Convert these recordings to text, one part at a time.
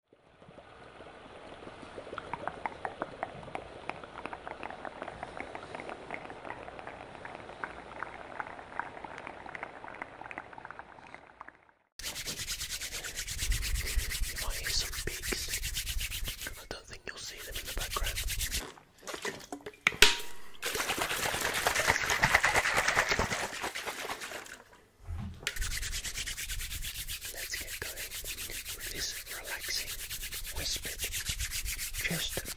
You might hear some beaks. I don't think you'll see them in the background. Let's get going with this relaxing whispered gesture. Relax,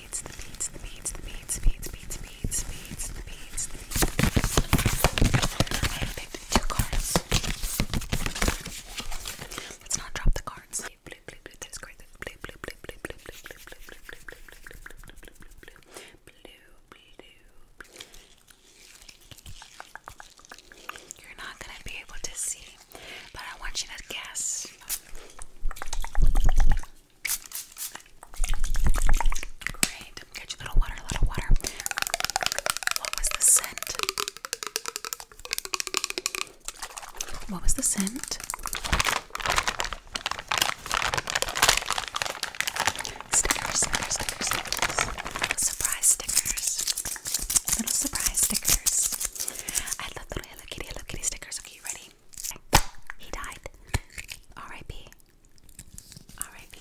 beads, the beads, the beads, the beads, beads, beads, beads, beads, the beads, the beads. I have picked two cards. Let's not drop the cards. Blue, blue, blue, blue. There's great. Blue, blue, blue, blue, blue, blue, blue, blue, blue, blue, blue, blue, blue, blue, blue, blue, blue, blue. You're not gonna be able to see, but I want you to guess. Get you little water, a little water. What was the scent? What was the scent? Stickers, stickers, stickers, stickers. Surprise stickers. Little surprise stickers. I love little Kitty, Hello Kitty stickers. Okay, you ready? He died. R.I.P. R.I.P.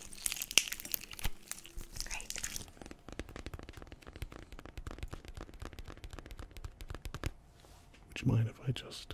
Great. Would you mind if I just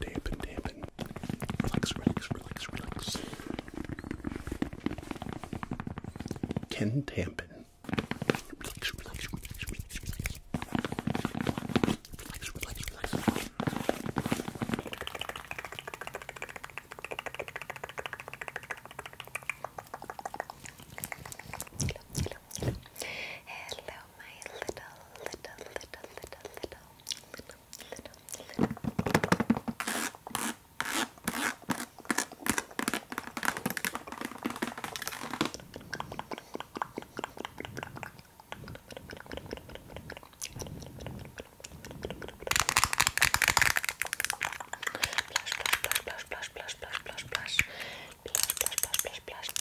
Dampen, dampen. Relax, relax, relax, relax. Can dampen. Relax, relax, relax, relax, relax. Relax, relax, relax. Hello, hello, hello. Hello, my little, little, little, little, little, little, little, little. Blush, blush, blush, blush, blush, blush, blush, blush, blush, blush, blush, blush, blush,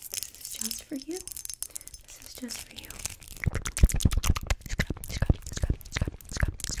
this is just for you. This is just for you. Scrub, scrub, scrub, scrub, scrub, scrub. Good.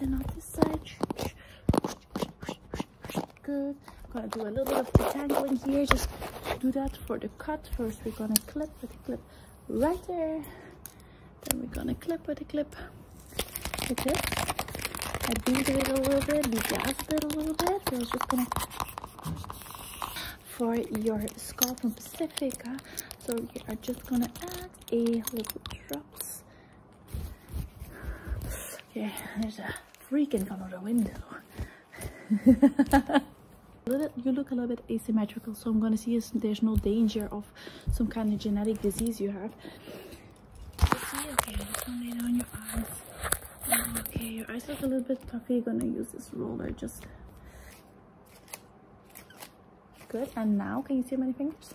And on this side, good. I'm gonna do a little bit of detangling here. Just do that for the cut. First, we're gonna clip with a clip right there. Then we're gonna clip with a clip like this. I beat a little bit, beat it a little bit. So I was just gonna for your scalp from Pacifica. So we are just gonna add a little drops. Okay, there's a freaking come out the window. Bit, you look a little bit asymmetrical so i'm gonna see if there's no danger of some kind of genetic disease you have okay just gonna lay down your eyes okay your eyes look a little bit puffy you're gonna use this roller just Good, and now can you see many fingers?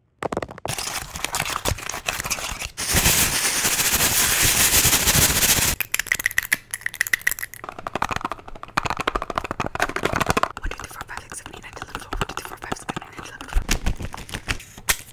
One, two, three, four, five, six, seven, eight, nine, ten, eleven, twelve. One, two, three, four, five, six, seven, eight, nine, eleven, twelve.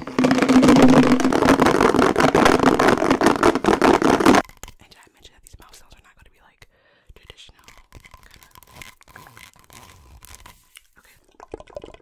And did I mention that these mouth sounds are not going to be like traditional? Kinda. Okay.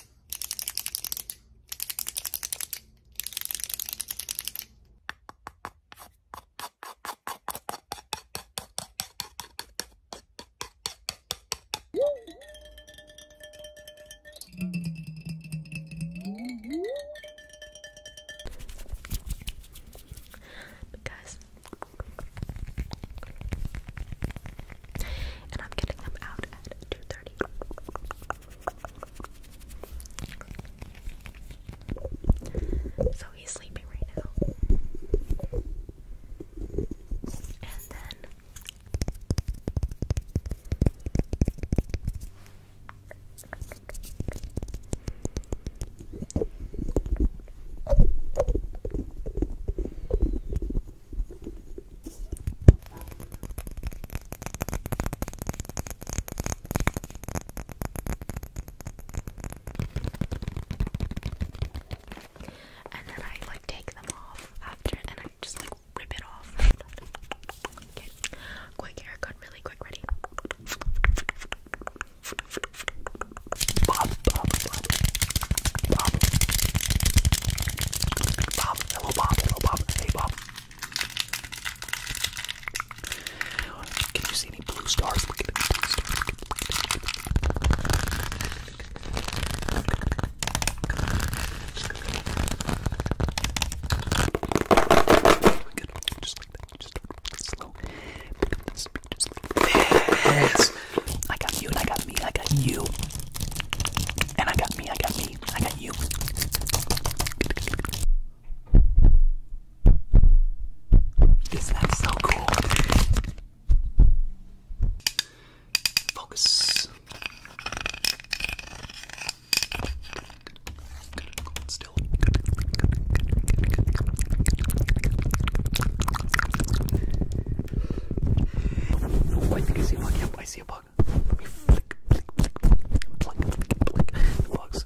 Because and I'm getting them out at 2.30. So he's sleeping right now. And then and then I like take them off after and I just like rip it off. okay. Quick haircut, really quick, ready. Bob, Bob, Bob, Bob, hello Bob, hello Bob, hey Bob. Can you see any blue stars? Look at any blue stars. Good. Just like that. Just slow. Pick up the speed. Just like this. I got you, and I got me, I got you. And I got me, I got me, I got you. Isn't that so cool? Focus. still. Oh, I think I see a bug. Yep, I see a bug. Let me flick, flick, flick, pluck, flick, flick the bugs.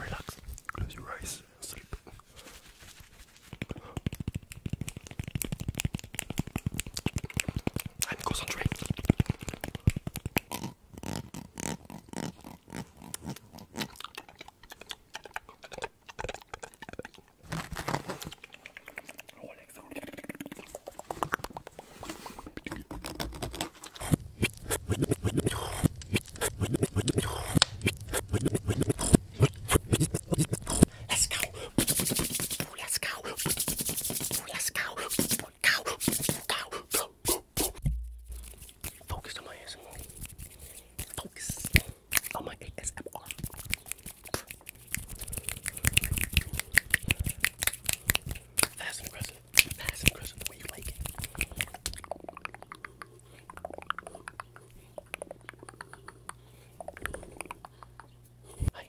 Relax, close your eyes, sleep. And concentrate. Relax. Let's go. Let's go. Let's go. Go. Go. Go. Go. Focus on my ASMR. Focus on my ASMR. Fast and aggressive. That is impressive the way you like it. Hi.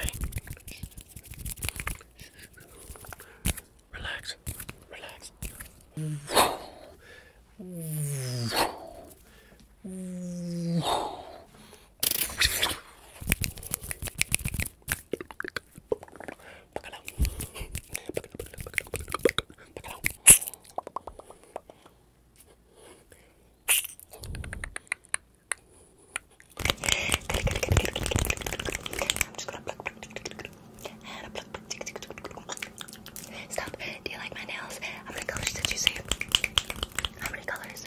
Hey. Relax. Relax. I'm just gonna pluck, pluck, pluck, pluck, and pluck, pluck, tick, tick, tick, tick. Stop. Do you like my nails? How many colors did you see? How many colors?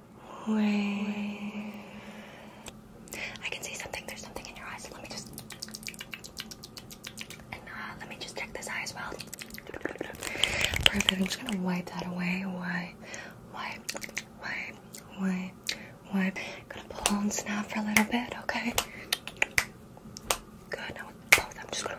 Wave. I can see something. There's something in your eyes. let me just uh, let me just check this eye as well. Perfect. I'm just gonna wipe that away. Wipe, wipe, wipe, wipe, wipe. Gonna pull and snap for a little bit. Okay. Good. Now with both, I'm just gonna.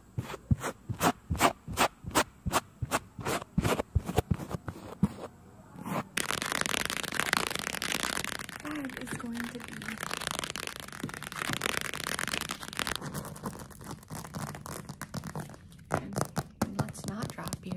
bag is going to be let's not drop you.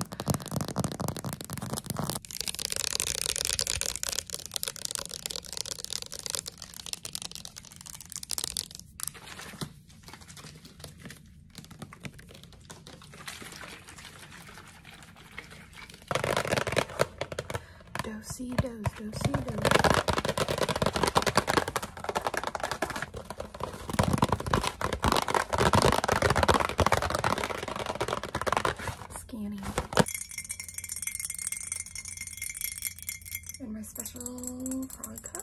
Dosey -si dosey Scanning. And my special frog cup.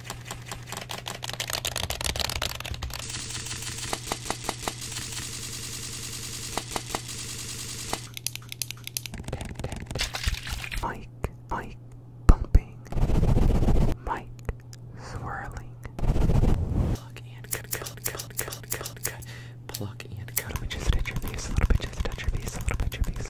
Mike, Mike pumping, Mike swirling. Pluck and cut, cut, cut, cut, cut, cut. Pluck and cut. Let me just touch your face a little bit, just touch your face a little bit, your face.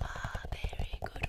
Ah, very good.